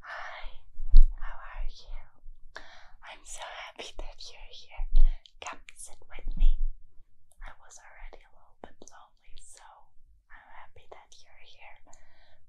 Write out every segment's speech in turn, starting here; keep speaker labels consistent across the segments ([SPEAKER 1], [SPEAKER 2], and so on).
[SPEAKER 1] Hi, how are you? I'm so happy that you're here. Come sit with me. I was already a little bit lonely, so I'm happy that you're here.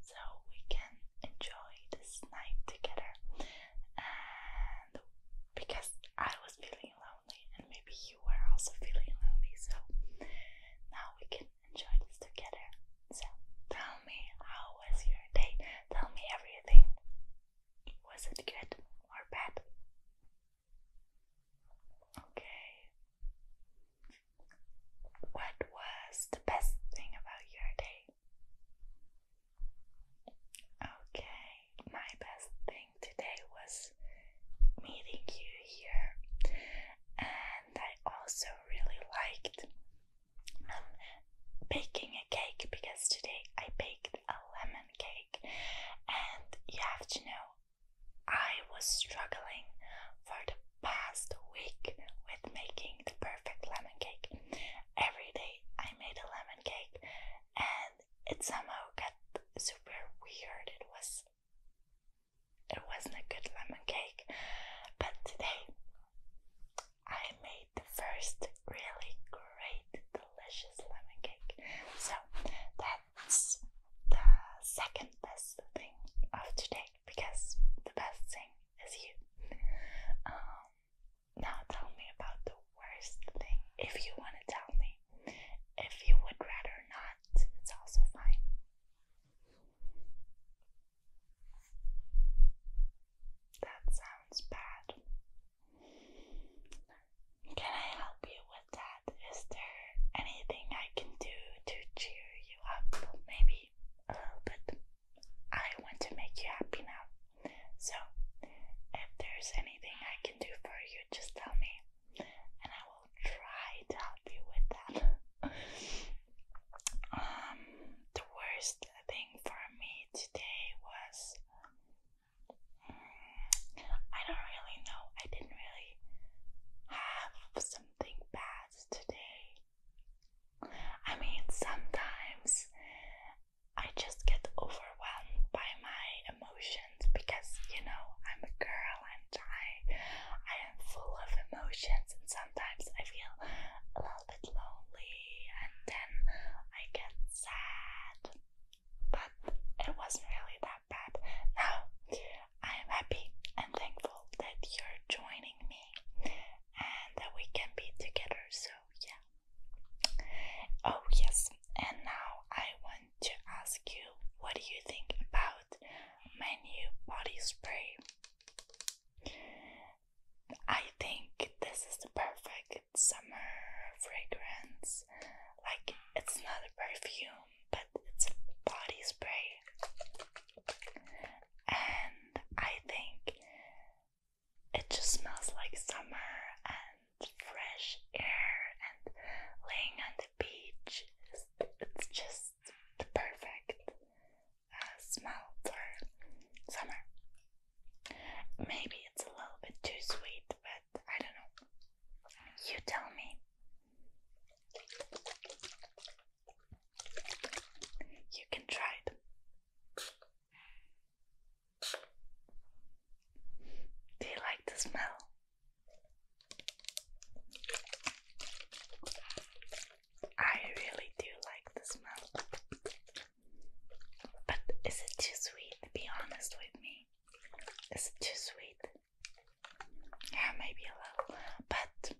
[SPEAKER 1] So we can enjoy this night together. And because I was feeling lonely, and maybe you were also feeling lonely, so now we can enjoy this together. So tell me, how was your day? Tell me everything. Was it good or bad? Okay. What was the best thing about your day? Okay, my best thing today was meeting you here I also really liked um, baking a cake because today I baked a lemon cake, and you have to know I was struggling for the past week with making the perfect lemon cake. Every day I made a lemon cake, and it somehow got super weird. It was it wasn't a good lemon cake, but today I made the first really great, delicious lemon cake. So that's the second best thing of today because the best thing is you. Um, now tell me about the worst thing if you want to tell me. If you would rather not, it's also fine. That sounds bad. Can I help you with that? Is there anything I can do to cheer you up? Maybe a little bit. I want to make you happy now. So, if there's anything I can do for you, just tell me and I will try to help you with that. Um, the worst thing for me today was mm, I don't really know. I didn't really have something bad today. I mean, sometimes I just get overwhelmed by my emotions because you know I'm a girl and I I am full of emotions and sometimes I feel a little bit lonely and then I get sad. But it wasn't really that bad. Now I am happy and thankful that you're joining me and that we can be together. So yeah. Oh yes, and now I want to ask you what do you think about out body spray. I think this is the perfect summer fragrance. Like, it's not a perfume, but it's a body spray. And I think it just smells like summer and fresh air and laying on beach is it's just the perfect uh, smell for summer. Maybe it's a little bit too sweet, but I don't know. You tell me. You can try it. Do you like the smell? I really do like the smell. But is it too sweet? Be honest with me. Is it too sweet? Yeah, maybe a little, but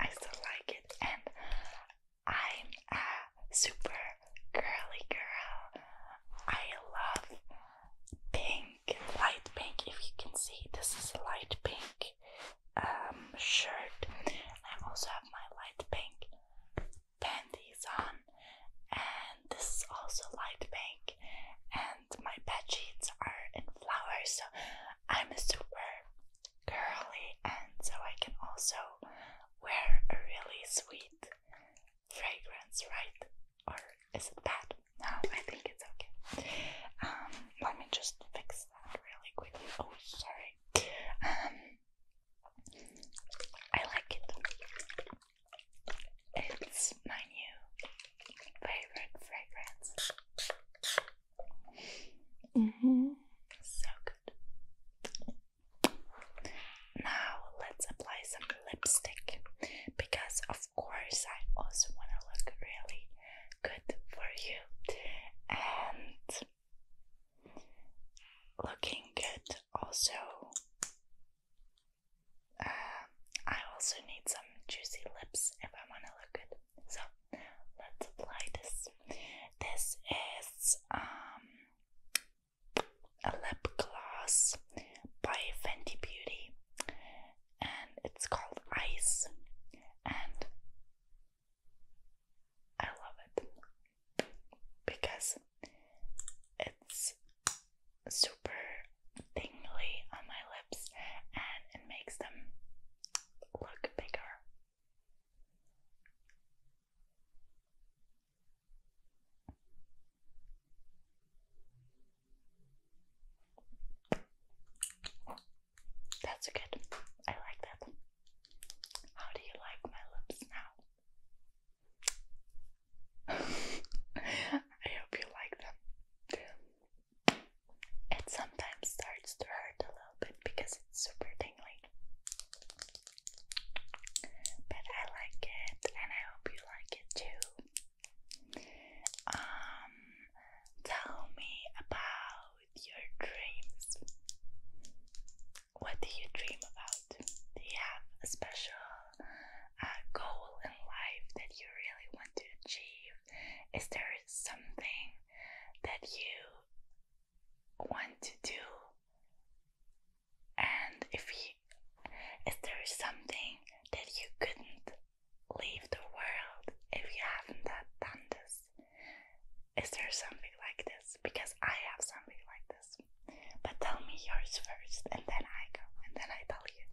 [SPEAKER 1] I still like it. And I'm a super girly girl. I love pink light pink. If you can see, this is a light pink um, shirt. I also have my light pink panties on, and this is also light pink. And my bed sheets are in flowers, so I'm a super girly, and so I can also wear a really sweet fragrance, right? Or is it bad? No, I think it's okay. Um, let me just fix that really quickly. Oh, sorry. Um, I like it. It's my new favorite fragrance. hmm So good. Now let's apply some lipstick because of of course, I also want to look really good for you. And looking good also um, I also need some juicy lips if I want to look good so let's apply this this is um, a lip gloss by Fenty Beauty and it's called Ice, and I love it because it's super tingly on my lips and it makes them look bigger. That's good. I like that. How do you like my lips now? I hope you like them. It sometimes starts to hurt a little bit because it's super tingly. But I like it and I hope you like it too. Um, tell me about your dreams. What do you dream about? Do you have a special uh, goal in life that you really want to achieve? Is there something that you want to do? And if you, is there something that you couldn't leave the world if you haven't done this. Is there something like this? Because I have something like this. But tell me yours first, and then I go, and then I tell you.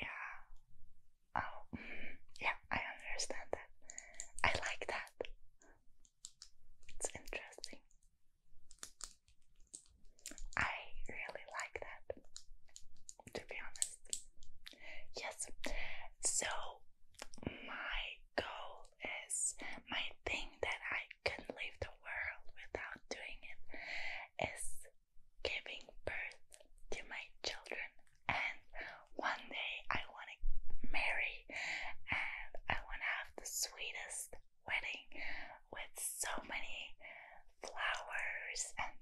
[SPEAKER 1] Yeah. Oh, mm, yeah, I understand that. I like that. It's interesting. I really like that, to be honest. Yes, so my goal is my thing that I can leave the world without doing it is giving birth to my children, and one day I want to marry and I want to have the sweetest wedding with so many flowers and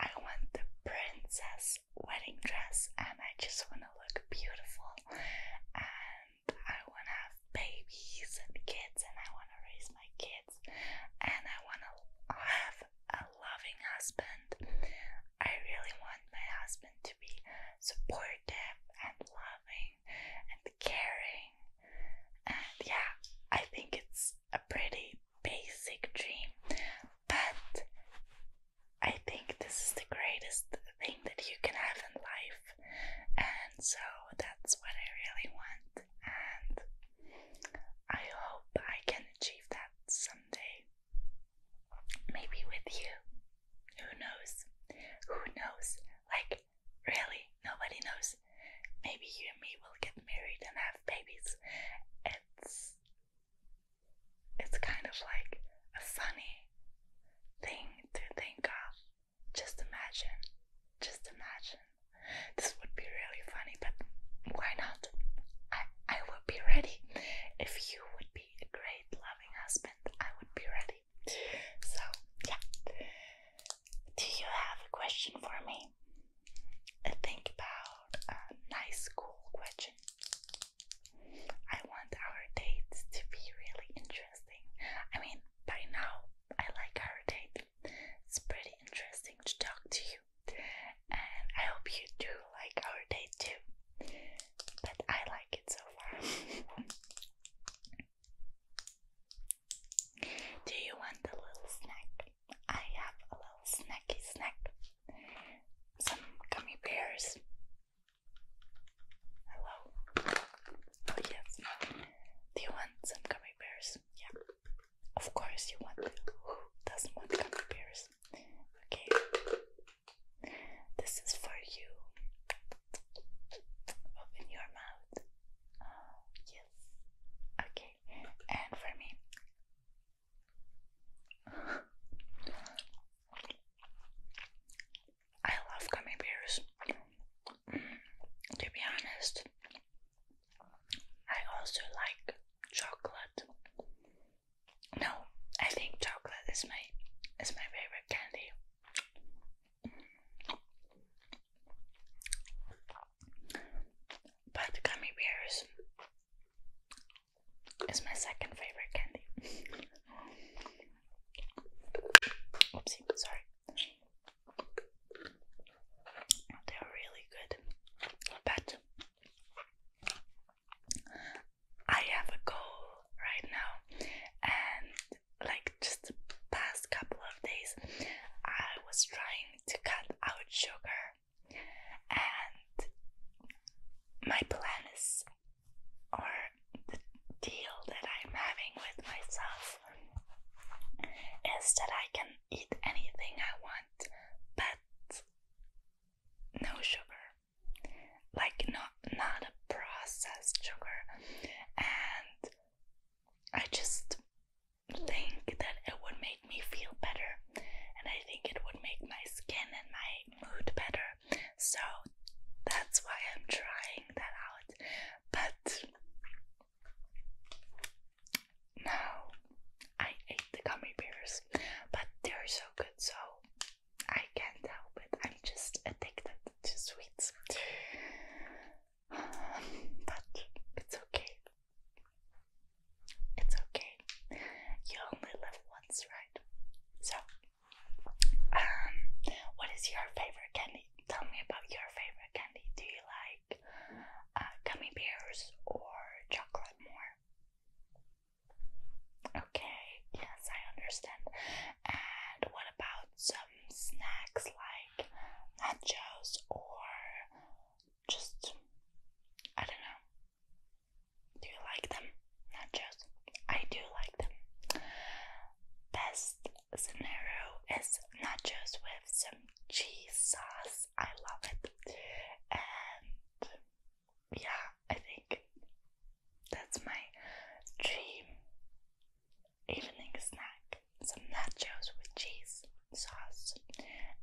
[SPEAKER 1] I want the princess wedding dress and I just want to look beautiful and I want to have babies and kids and I want to raise my kids and I want to have a loving husband. I really want my husband to be supportive and loving and caring. And yeah, I think it's a pretty basic dream, but I think this is the greatest thing that you can have in life, and so that's what I really want, and I hope I can achieve that someday. Maybe with you. Who knows? Who knows? Like, really, nobody knows. Maybe you and me will get married and have babies. It's. It's kind of like a funny thing to think of. Just imagine. Just imagine. This would be really funny, but why not? I, I would be ready if you would be a great love husband, I would be ready. So, yeah. Do you have a question for me? I think about uh, nice, cool question. I want our dates to be really interesting. I mean, by now, I like our date. It's pretty interesting to talk to you. And I hope you do like our date too but I like it so far. Do you want a little snack? I have a little snacky snack. Some gummy bears. Hello. Oh yes. Do you want some gummy bears? Yeah. Of course you want. Who doesn't want gummy bears? Okay. This is for you. Open your mouth. yes. Okay. And for me. I love coming bears. to be honest, I also like chocolate. No, I think chocolate is my is my favorite candy. But gummy bears is my second favorite candy. Oopsie, sorry. They're really good, but I have a goal right now, and like just the past couple of days, I was trying to cut out sugar, and my plan is, or the deal that I'm having with myself is that I can eat anything I want, but no sugar like not not a processed sugar and I just think that it would make me feel better and I think it would make my skin and my mood better so that's why I'm trying that out but no, I hate the gummy bears but they're so good so I can't help it. I'm just addicted to sweets. but it's okay. It's okay. You only live once, right? So, um, what is your favorite candy? Tell me about your favorite candy. Do you like uh, gummy bears or chocolate more? Okay, yes, I understand. And what about some snacks like nachos or just, I don't know. Do you like them? Nachos? I do like them. Best scenario is nachos with some cheese sauce. I love it. And yeah, I think that's my dream evening snack. Some nachos with cheese sauce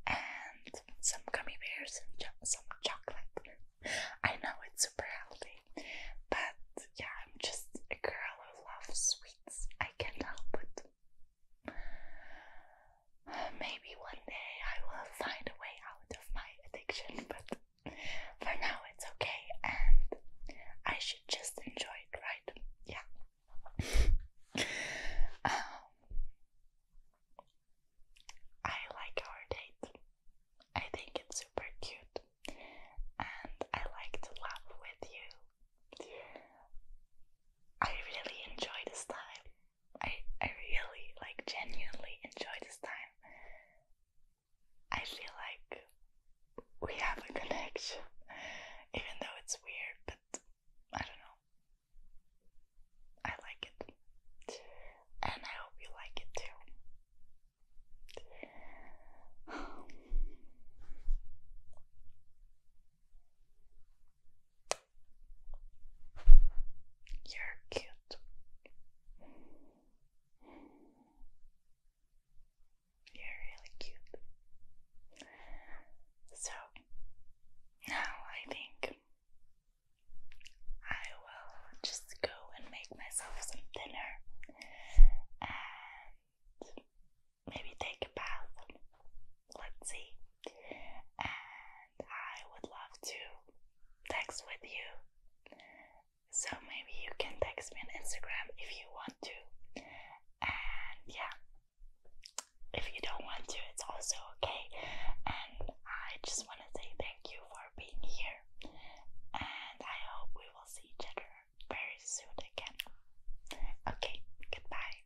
[SPEAKER 1] and some gummy bears and some chocolate. I know it's super healthy, but yeah, I'm just a girl who loves sweets. I can't help it. maybe one day I will find a way out of my addiction, but for now it's okay and I should just enjoy it, right? Yeah. um, I like our date. I think it's super cute and I like to laugh with you. I really enjoy this time I I really like genuinely enjoy this time. I feel like we have a connection, even though it's weird, but I don't know. I like it, and I hope you like it too. You're cute. You're really cute. So now I think I will just go and make myself some dinner and maybe take a bath. Let's see. And I would love to text with you. So maybe you can text me on Instagram if you want to. And yeah, if you don't want to, it's also okay. And I just want to say thank you for being here. And I hope we will see each other very soon again. Okay, goodbye.